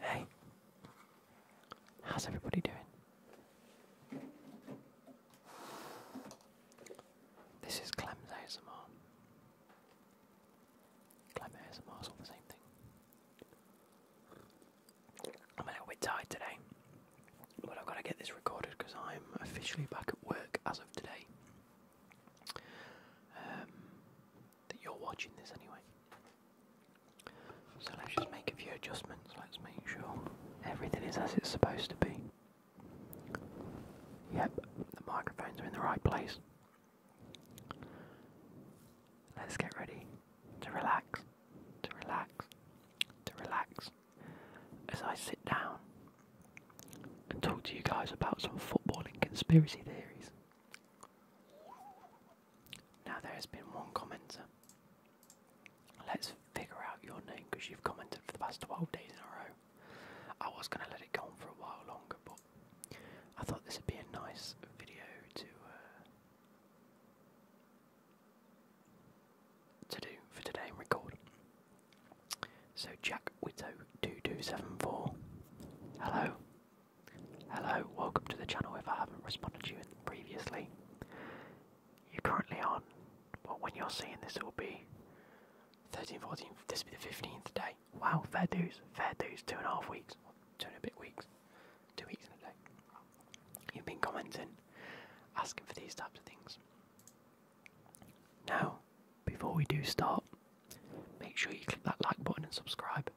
Hey, how's everybody doing? This is Clem's ASMR. all the same thing. I'm a little bit tired today, but I've got to get this recorded because I'm officially back at work as of today. Um, that you're watching this anyway. So let's just make a few adjustments. Let's make sure everything is as it's supposed to be. Yep, the microphones are in the right place. Let's get ready to relax to relax, to relax as I sit down and talk to you guys about some footballing conspiracy theories. Now, there has been one commenter. Let's figure out your name because you've commented for the past 12 days in a row. I was going to let it go on for a while longer, but I thought this would be a nice video to uh, to do for today and record. So Jack Witto two two seven four. Hello. Hello, welcome to the channel if I haven't responded to you previously. You're currently on But when you're seeing this it will be 13, 14, this will be the 15th day. Wow, fair dues, fair dues, two and a half weeks, two and a bit weeks, two weeks in a day. You've been commenting, asking for these types of things. Now, before we do start, make sure you click that like button and subscribe.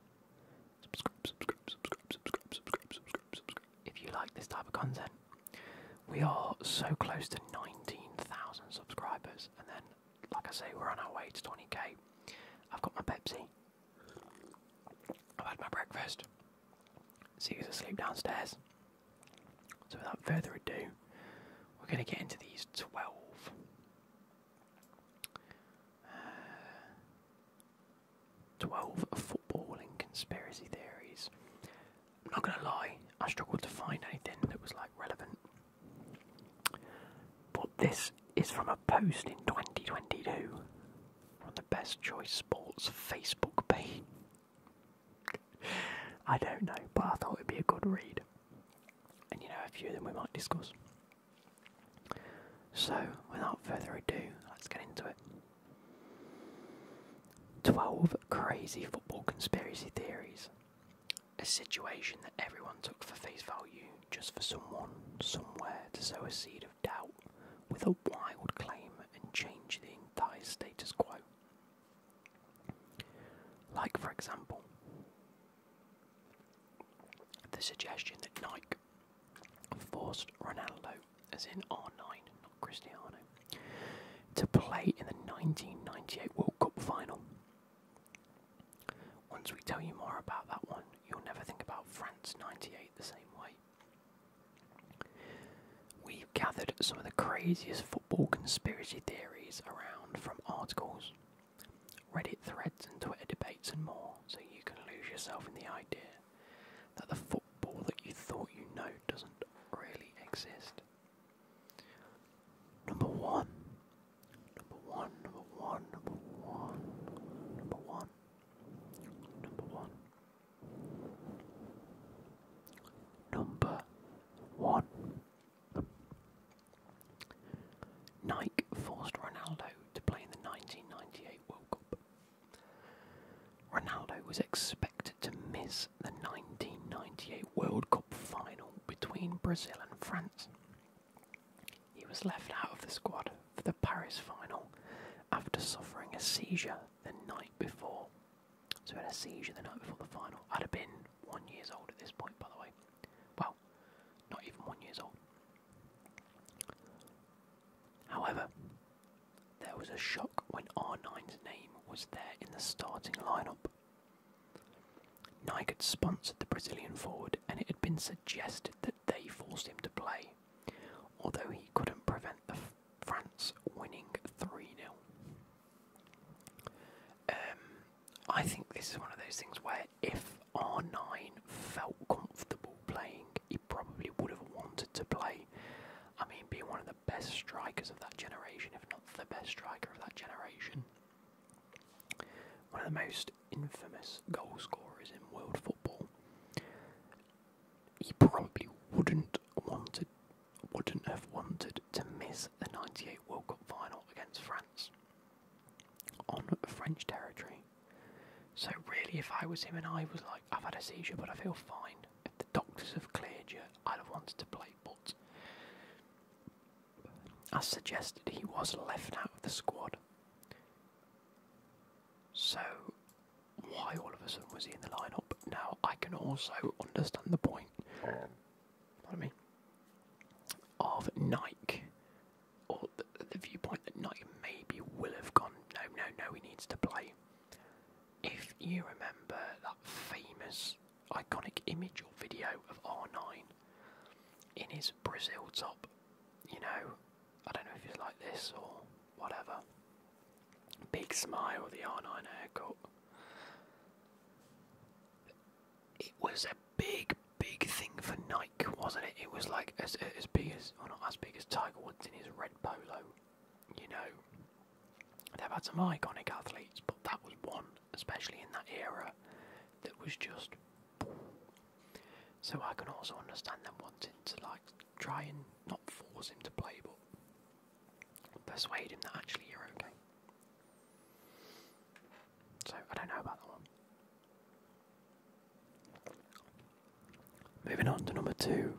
If you like this type of content, we are so close to 19,000 subscribers, and then, like I say, we're on our way to 20k. I've got my Pepsi. I've had my breakfast. See who's asleep downstairs. So, without further ado, we're going to get into these 12. Uh, 12 football and conspiracy theories. I'm not going to lie, I struggled to find anything that was like relevant. But this is from a post in 2022 on the Best Choice Sports Facebook page. I don't know, but I thought it'd be a good read. And you know, a few of them we might discuss. So, without further ado, let's get into it. 12 Crazy Football Conspiracy Theories. A situation that everyone took for face value just for someone, somewhere to sow a seed of doubt with a wild claim and change the entire status quo. Like, for example, the suggestion that Nike forced Ronaldo, as in R9, not Cristiano, to play in the 1998 World Cup final. Once we tell you more about that one, you'll never think about France 98 the same way. We've gathered some of the craziest football conspiracy theories around from articles, Reddit threads, and Twitter debates, and more, so you can lose yourself in the idea that the football that you thought you know doesn't really exist. Number one. Number one, number one, number one, number one, number one. Number one. Nike forced Ronaldo to play in the 1998 World Cup. Ronaldo was expected to miss the 1998 World Cup final between Brazil and France. He was left out of the squad for the Paris final after suffering a seizure the night before. So I had a seizure the night before the final. I'd have been one years old at this point, by the way. Well, not even one years old. However, there was a shock when R9's name was there in the starting lineup. Nike had sponsored the Brazilian forward, and it had been suggested that they forced him to play, although he couldn't prevent the France winning 3 0. Um, I think this is one of those things where if R9 felt comfortable playing, he probably would have wanted to play. I mean, being one of the best strikers of that generation, if not the best striker of that generation. One of the most infamous goal scorers in world football he probably wouldn't wanted wouldn't have wanted to miss the ninety eight World Cup final against France on French territory. So really if I was him and I was like, I've had a seizure but I feel fine. If the doctors have cleared you, I'd have wanted to play but as suggested he was left out of the squad. So why all of a sudden was he in the lineup. Now I can also understand the point. I mean, of Nike, or the, the viewpoint that Nike maybe will have gone. No, no, no. He needs to play. If you remember that famous, iconic image or video of R9 in his Brazil top, you know, I don't know if he's like this or whatever. Big Smile, the R9 haircut. It was a big, big thing for Nike, wasn't it? It was like as as big as, or not as big as Tiger Woods in his red polo. You know, they've had some iconic athletes, but that was one, especially in that era, that was just. So I can also understand them wanting to like try and not force him to play, but persuade him that actually you're okay. So I don't know about that one. Moving on to number two.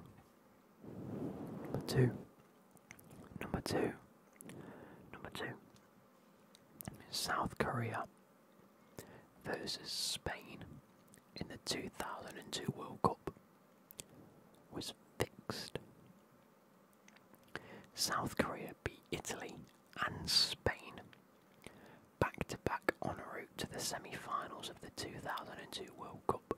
Number two. Number two. Number two. South Korea versus Spain in the 2002 World Cup was fixed. South Korea beat Italy and Spain back to back en route to the semi finals of the 2002 World Cup.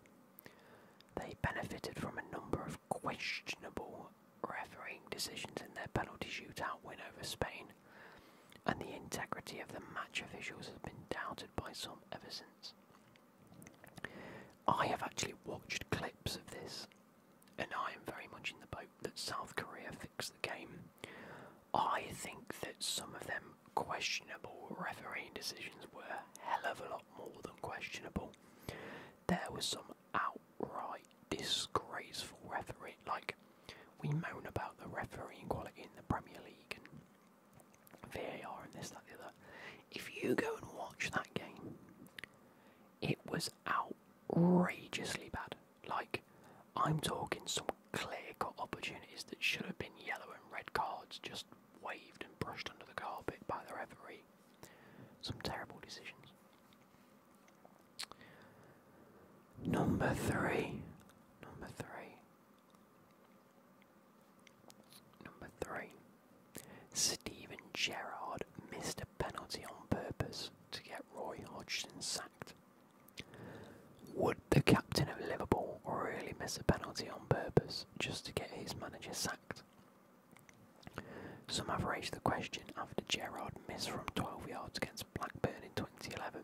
They benefited from a number of questionable refereeing decisions in their penalty shootout win over Spain, and the integrity of the match officials has been doubted by some ever since. I have actually watched clips of this, and I am very much in the boat that South Korea fixed the game. I think that some of them questionable refereeing decisions were hell of a lot more than questionable. There was some outright disgraceful refereeing. Like, we moan about the refereeing quality in the Premier League, VAR and this, that, the other. If you go and watch that game, it was outrageously bad. Like, I'm talking some clear cut opportunities that should have been yellow and red cards just waved and brushed under the carpet by the referee. Some terrible decisions. Number three. Number three. Number three. Steven Gerrard missed a penalty on purpose to get Roy Hodgson sacked. Would the captain of Liverpool really miss a penalty on purpose just to get his manager sacked? Some have raised the question after Gerrard missed from 12 yards against Blackburn in 2011.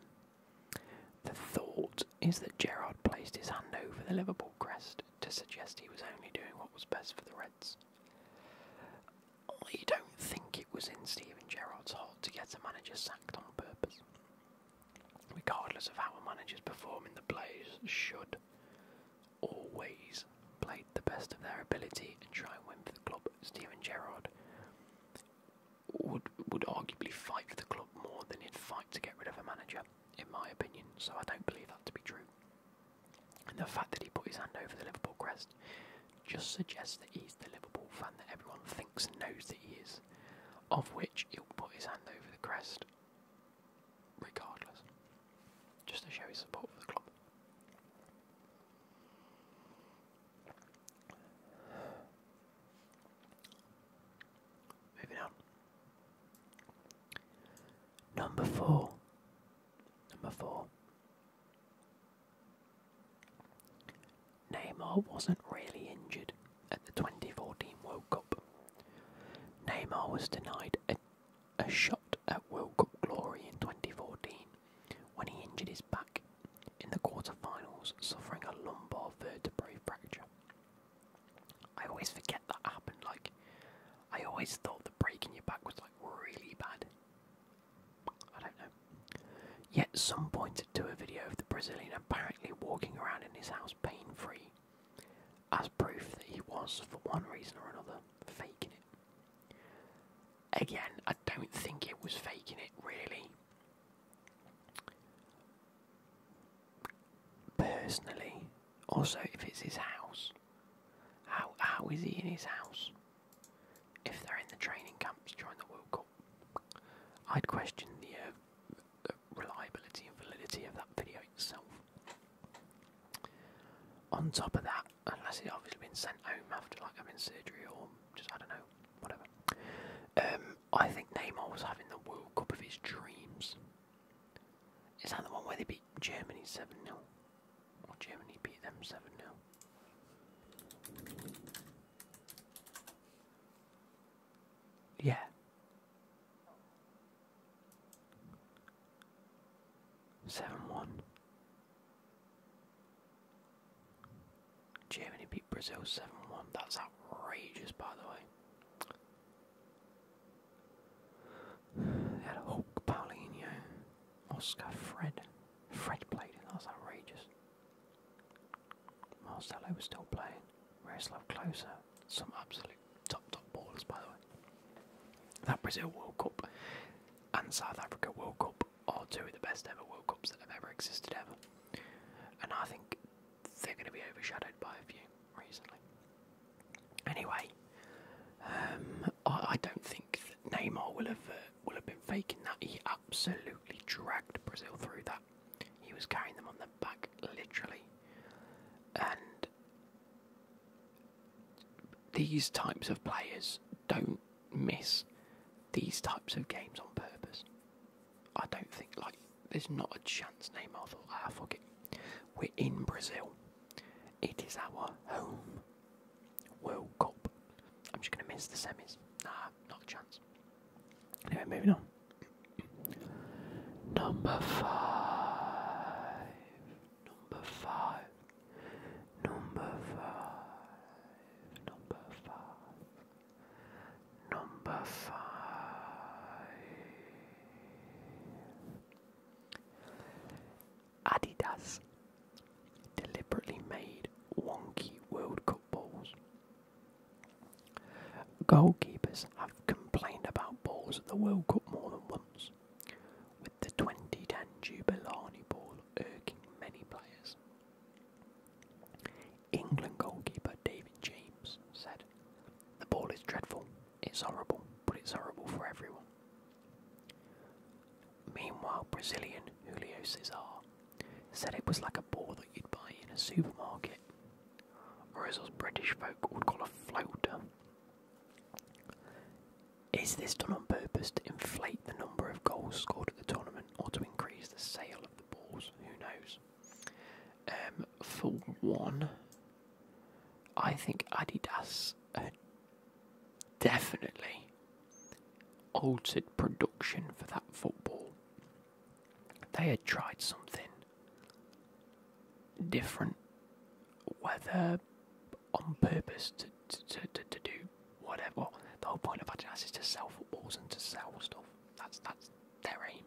The thought is that Gerrard placed his hand over the Liverpool crest to suggest he was only doing what was best for the Reds. I don't think it was in Steven Gerrard's heart to get a manager sacked on purpose. Regardless of how a manager's in the players should always play the best of their ability and try and win for the club. Steven Gerrard would would arguably fight for the club more than he'd fight to get rid of a manager in my opinion, so I don't believe that to be true. And the fact that he put his hand over the Liverpool crest just suggests that he's the Liverpool fan that everyone thinks and knows that he is, of which he'll put his hand over the crest regardless, just to show his support for the club. Moving on. Number four. Number four. Neymar wasn't really injured at the 2014 World Cup. Neymar was denied a, shot at World Cup glory in 2014 when he injured his back in the quarterfinals, suffering a lumbar vertebrae fracture. I always forget that happened. Like, I always thought the breaking your back was like really bad. I don't know. Yet some pointed to a video of the Brazilian apparently walking around in his house pain-free, as proof that he was, for one reason or another, faking it. Again, I don't think it was faking it really personally. Also, if it's his house, how how is he in his house? If they're in the training camps during the World Cup, I'd question the, uh, reliability and validity of that video itself. On top of that, unless it's obviously been sent home after like having surgery or just I don't know, whatever. Um, I think Neymar was having the World Cup of his dreams. Is that the one where they beat Germany 7 0? Or Germany beat them 7 0? Yeah. Seven one. Germany beat Brazil seven one. That's outrageous, by the way had Hulk, Paulinho, Oscar, Fred. Fred played it, that outrageous. Marcelo was still playing. Miroslav Klose, some absolute top top ballers by the way. That Brazil World Cup and South Africa World Cup are two of the best ever World Cups that have ever existed ever. And I think they're going to be overshadowed by a few recently. Anyway, um, I, don't think that Neymar will have uh, will have been faking that. He absolutely dragged Brazil through that. He was carrying them on their back literally, and these types of players don't miss these types of games on purpose. I don't think like there's not a chance Neymar thought, ah, fuck it. We're in Brazil. It is our home World Cup. I'm just going to miss the semis. Nah, not a chance. Anyway, moving on. Number five. Number five. Number five. Number five. Number five. Adidas deliberately made wonky World Cup balls. Goalkeepers have complained about balls at the World Cup more than once, with the 2010 Jubilani ball irking many players. England goalkeeper David James said, The ball is dreadful. It's horrible, but it's horrible for everyone. Meanwhile, Brazilian Julio Cesar said it was like a ball that you'd buy in a supermarket, or British folk would call a floater. Is this done on purpose to inflate the number of goals scored at the tournament or to increase the sale of the balls? Who knows? Um, for one, I think Adidas had definitely altered production for that football. They had tried something different, whether on purpose to, to, to, do whatever. The whole point of Adidas is to sell footballs and to sell stuff. That's that's their aim.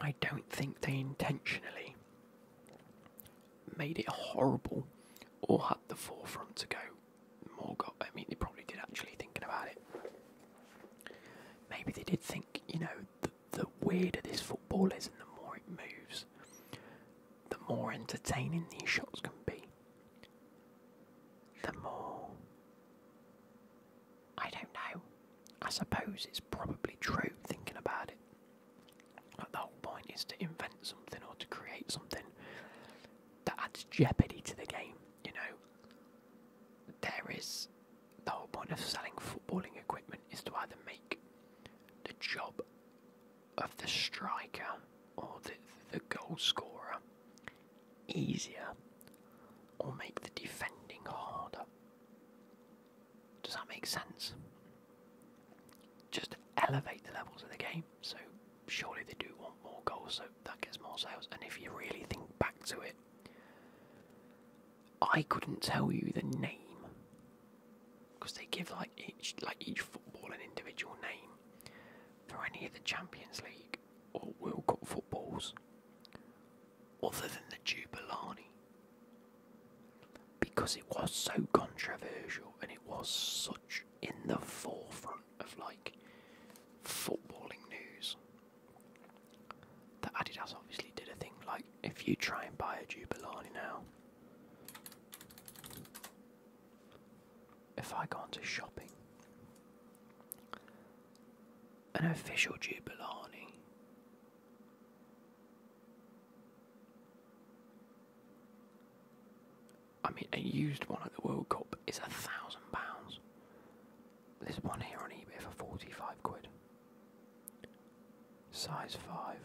I don't think they intentionally made it horrible or had the forefront to go more Got I mean, they probably did actually thinking about it. Maybe they did think, you know, the, the weirder this football is and the more it moves, the more entertaining these shots can be. The more I don't know. I suppose it's probably true thinking about it. Like the whole point is to invent something or to create something that adds jeopardy to the game, you know. There is the whole point of selling footballing equipment is to either make the job of the striker or the, the goal scorer easier or make the defending harder. Does that make sense? Just elevate the levels of the game. So surely they do want more goals, so that gets more sales. And if you really think back to it, I couldn't tell you the name because they give like each like each football an individual name for any of the Champions League or World Cup footballs other than the Jubilani because it was so controversial and it was such in the forefront of like footballing news that Adidas obviously did a thing like if you try and buy a Jubilani now if I go onto shopping an official Jubilani. I mean, a used one at the World Cup is a thousand pounds. There's one here on eBay for 45 quid. Size 5.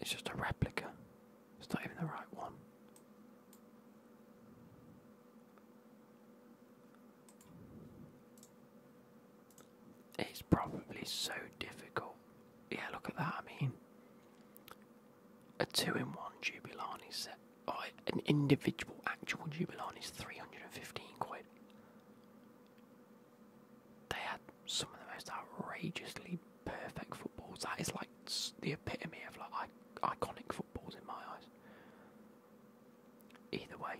It's just a replica. It's not even the right one. It's probably so difficult. Yeah, look at that. I mean, a two in one Jubilani set, or an individual actual Jubilani is 315 quid. They had some of the most outrageously perfect footballs. That is like the epitome of like iconic footballs in my eyes. Either way,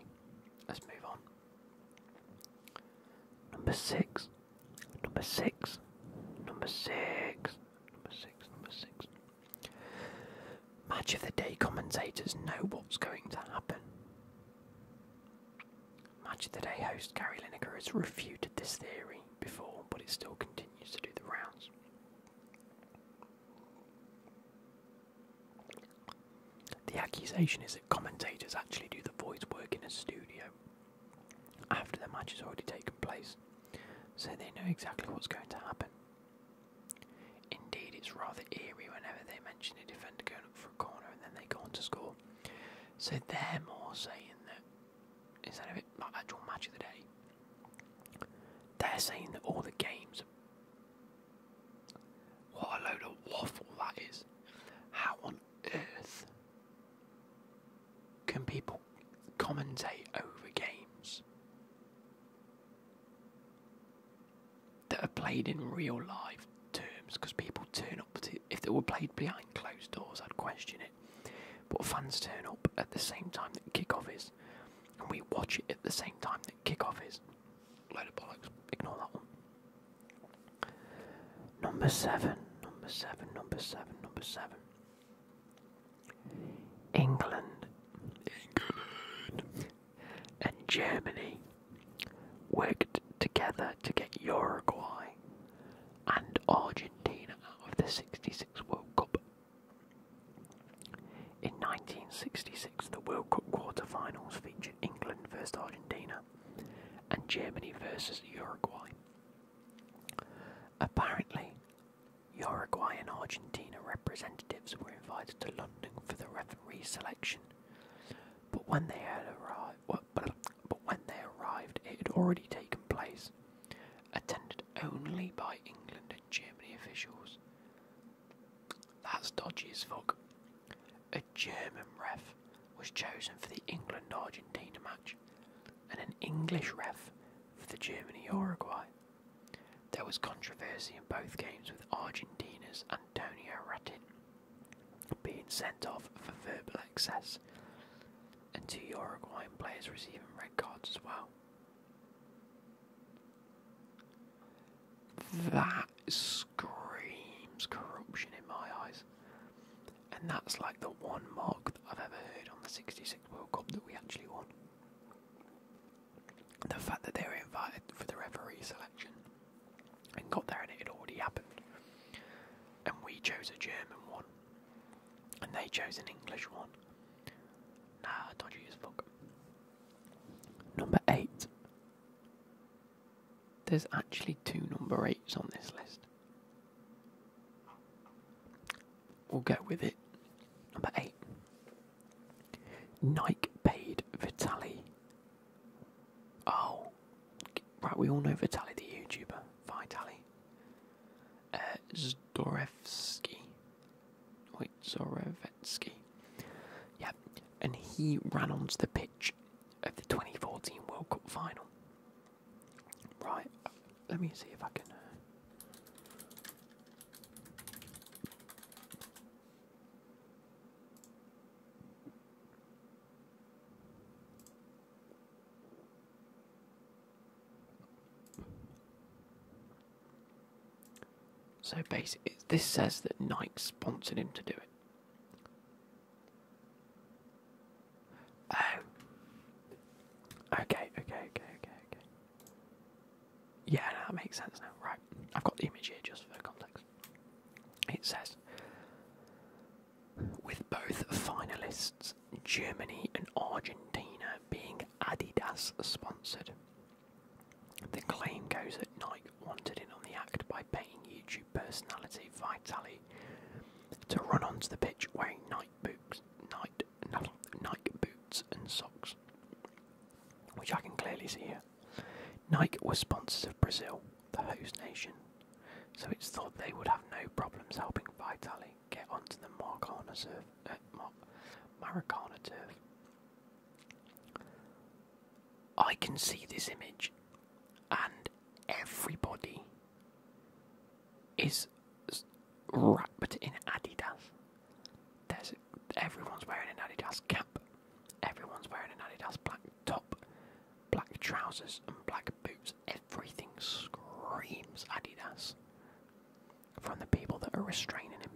let's move on. Number six, number six, number six, number six, number six. Match of the day commentators know what's going to happen. Match of the Day host Gary Lineker has refuted this theory before, but it still continues to do the rounds. The accusation is that commentators actually do the voice work in a studio after the match has already taken place, so they know exactly what's going to happen. Indeed, it's rather eerie whenever they mention a defender going up for a corner and then they go on to score. So they're more saying that instead of it like actual match of the day, they're saying that all the games. What a load of waffle that is. How on earth can people commentate over games that are played in real life terms? Because people turn up If they were played behind closed doors, I'd question it. But fans turn up at the same time that kick-off is and we watch it at the same time that kick-off is. Load of bollocks. Ignore that one. Number seven. Number seven. Number seven. Number seven. England. England. And Germany worked together to get Uruguay and Argentina out of the 66 World Cup in 1966, the World Cup quarter-finals featured England versus Argentina and Germany versus Uruguay. Apparently, Uruguay and Argentina representatives were invited to London for the referee selection, but when they but when they arrived, it had already taken place, attended only by England and Germany officials. That's dodgy as fuck. A German ref was chosen for the England Argentina match, and an English ref for the Germany Uruguay. There was controversy in both games with Argentina's Antonio Rattin being sent off for verbal excess, and two Uruguayan players receiving red cards as well. That screams corruption in my eyes. And that's like the one mark that I've ever heard on the 66 World Cup that we actually won. The fact that they were invited for the referee selection and got there and it had already happened. And we chose a German one and they chose an English one. Nah, don't use fuck. Number eight. There's actually two number eights on this list. We'll go with it. Number eight. Nike paid Vitali. Oh, right. We all know Vitali, the YouTuber. Vitali uh, Wait, Zorevetsky. Yeah, and he ran onto the pitch of the 2014 World Cup final. Right, let me see if I can. Uh, so basically, this says that Nike sponsored him to do it. Oh. Okay, okay, okay, okay, okay. Yeah, that makes sense now. Right, I've got the image here just for context. It says, with both finalists, Germany and Argentina being Adidas sponsored. The claim goes that Nike wanted in on the act by paying YouTube personality Vitaly to run onto the pitch wearing Nike boots, Nike, boots and socks, which I can clearly see Nike was sponsors of Brazil, the host nation, so it's thought they would have no problems helping Vitaly get onto the Marcana turf, uh, Maracana turf. I can see this image, and everybody is wrapped in Adidas. There's everyone's wearing an Adidas cap, everyone's wearing an Adidas black top, black trousers, and black boots. Everything screams Adidas from the people that are restraining him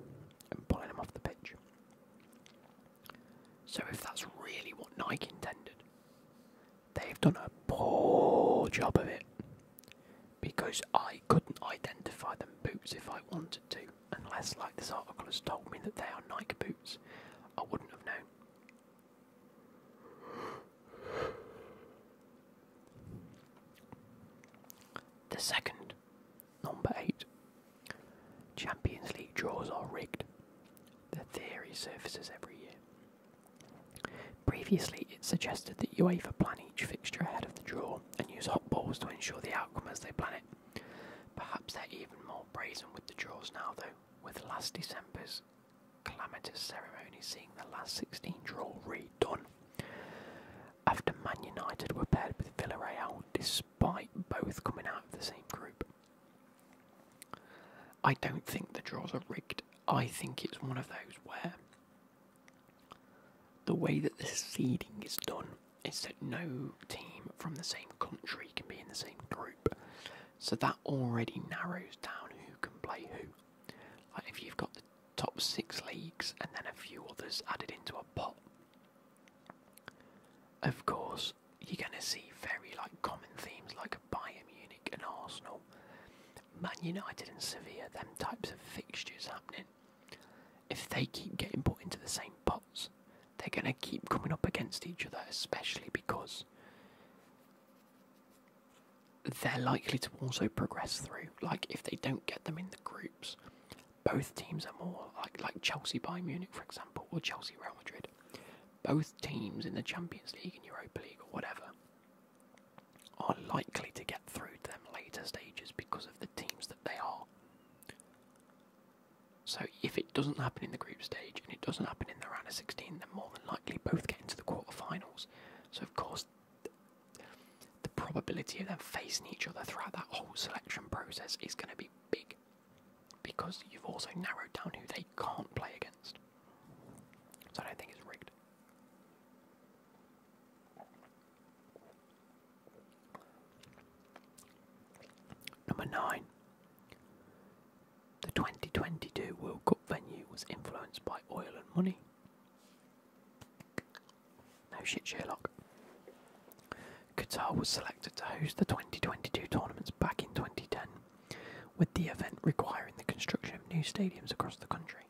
and pulling him off the pitch. So, if that's really what Nike intended, they've done a poor job of it because I couldn't identify them boots if I wanted to, unless, like this article has told me, that they are Nike boots. I wouldn't have known. The second, number eight, Champions League draws are rigged. The theory surfaces every year. Previously, it suggested that UEFA plan each fixture ahead of the draw and use hot balls to ensure the outcome as they plan it. Perhaps they're even more brazen with the draws now, though, with last December's calamitous ceremony seeing the last 16 draw redone after Man United were paired with Villarreal, despite both coming out of the same group. I don't think the draws are rigged. I think it's one of those where the way that the seeding is done is that no team from the same country can be in the same group. So that already narrows down who can play who. Like if you've got top six leagues and then a few others added into a pot. Of course, you're going to see very like common themes like Bayern Munich and Arsenal, Man United and Sevilla, them types of fixtures happening. If they keep getting put into the same pots, they're going to keep coming up against each other, especially because they're likely to also progress through. Like, if they don't get them in the group, both teams are more like like Chelsea Bayern Munich, for example, or Chelsea Real Madrid. Both teams in the Champions League and Europa League or whatever are likely to get through to them later stages because of the teams that they are. So if it doesn't happen in the group stage and it doesn't happen in the round of 16, then more than likely both get into the quarterfinals. So of course the probability of them facing each other throughout that whole selection process is going to be big because you've also narrowed down who they can't play against. So I don't think it's rigged. Number 9. The 2022 World Cup venue was influenced by oil and money. No shit, Sherlock. Qatar was selected to host the 2022 tournaments back in 2010, with the event requiring the construction of new stadiums across the country.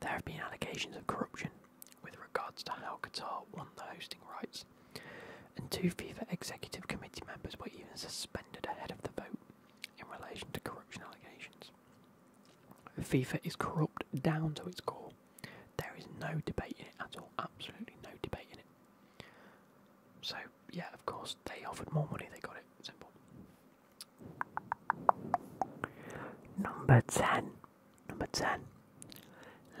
There have been allegations of corruption with regards to how Qatar won the hosting rights, and two FIFA executive committee members were even suspended ahead of the vote in relation to corruption allegations. FIFA is corrupt down to its core. There is no debate in it at all, absolutely no debate in it. So, yeah, of course, they offered more money, they got it. Simple. Number 10. Number 10.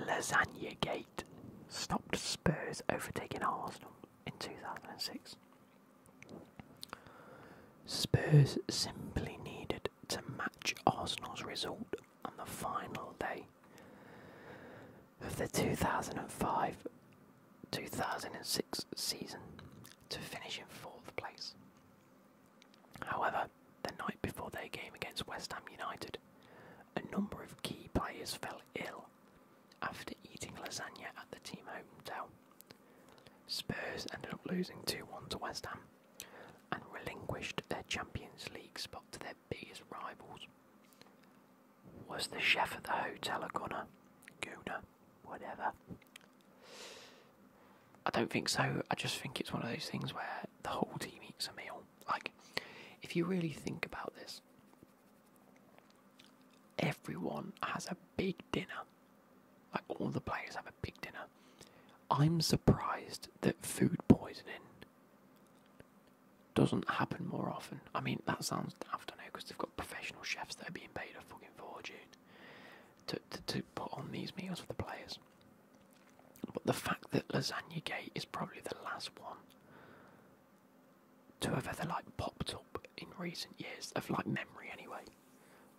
Lasagna Gate stopped Spurs overtaking Arsenal in 2006. Spurs simply needed to match Arsenal's result on the final day of the 2005 2006 season to finish in fourth place. However, the night before their game against West Ham United, a number of key players fell ill after eating lasagna at the team hotel Spurs ended up losing 2 1 to West Ham and relinquished their Champions League spot to their biggest rivals. Was the chef at the hotel a gunner? gunner, Whatever. I don't think so. I just think it's one of those things where the whole team eats a meal. Like, if you really think about this, everyone has a big dinner like all the players have a big dinner. I'm surprised that food poisoning doesn't happen more often. I mean, that sounds daft, I because they've got professional chefs that are being paid a fucking fortune to, to, to put on these meals for the players. But the fact that Lasagna Gate is probably the last one to have ever like popped up in recent years, of like memory anyway.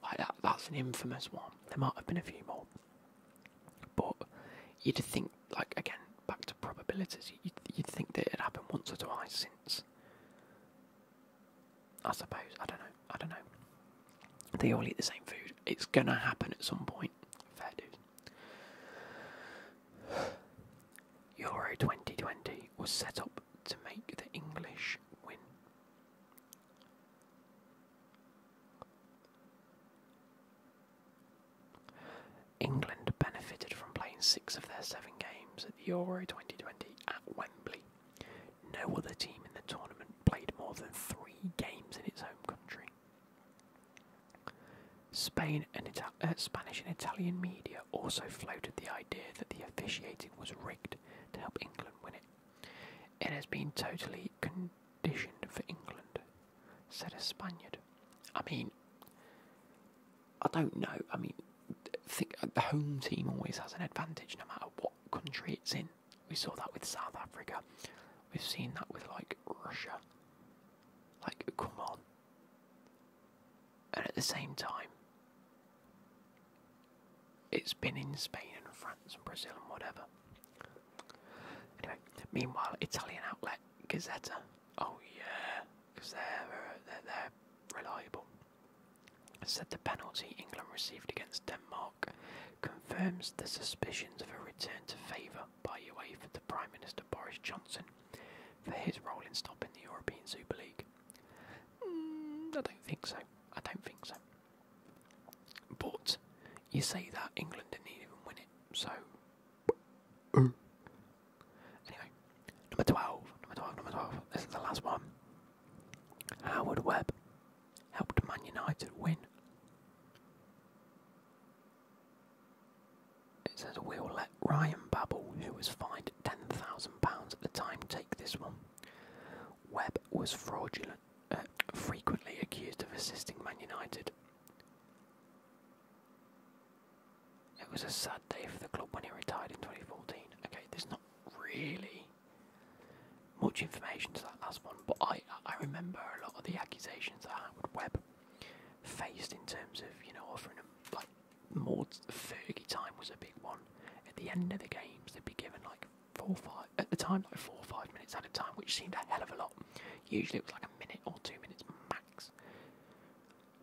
Like that, that's an infamous one. There might have been a few more, but you'd think, like again, back to probabilities. You'd, think that it had happened once or twice since. I suppose I don't know. I don't know. They all eat the same food. It's gonna happen at some point. Fair dues. Euro 2020 was set up to make the English win. England benefited from playing six of their seven games at the Euro 2020 at Wembley. No other team in the tournament played more than three games in its home country. Spain and uh, Spanish and Italian media also floated the idea that the officiating was rigged to help England win it. It has been totally conditioned for England, said a Spaniard. I mean, I don't know. I mean, think uh, the home team always has an advantage no matter what country it's in. We saw that with South Africa. We've seen that with like Russia. Like, come on. And at the same time, it's been in Spain and France and Brazil and whatever. Anyway, meanwhile, Italian outlet Gazzetta. Oh yeah, because they're, uh, they're they're reliable. Said the penalty England received against Denmark confirms the suspicions of a return to favour by UEFA to Prime Minister Boris Johnson for his role in stopping the European Super League. Mm, I don't think so. I don't think so. But you say that England didn't even win it, so anyway, number twelve, number twelve, number twelve. This is the last one. Howard Webb helped Man United win. It says we'll let Ryan Babel, who was fined ten thousand pounds at the time, take this one. Webb was fraudulent, uh, frequently accused of assisting Man United. It was a sad day for the club when he retired in 2014. Okay, there's not really much information to that last one, but I I remember a lot of the accusations that Howard Webb faced in terms of you know offering him like more Fergie time was a big one. At the end of the games, they'd be given like four five at the time, like four or five minutes at a time, which seemed a hell of a lot. Usually it was like a minute or two minutes max.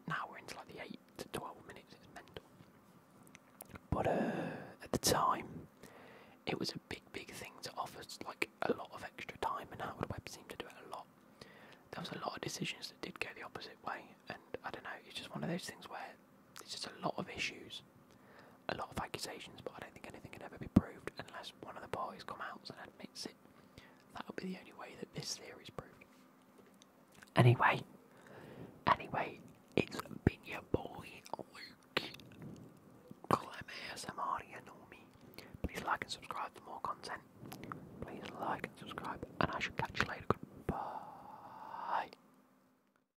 Now we're into like the eight to twelve minutes. It's mental. But uh, at the time, it was a big, big thing to offer like a lot of extra time, and Howard Webb seemed to do it a lot. There was a lot of decisions that did go the opposite way, and I don't know. It's just one of those things where it's just a lot of issues, a lot of accusations, but I don't think anything can ever be proved unless one of the parties come out and admits it. That will be the only way that this theory is proven. Anyway, anyway, it's been your boy Luke. Call him ASMR, you know me. Please like and subscribe for more content. Please like and subscribe, and I shall catch you later. Goodbye.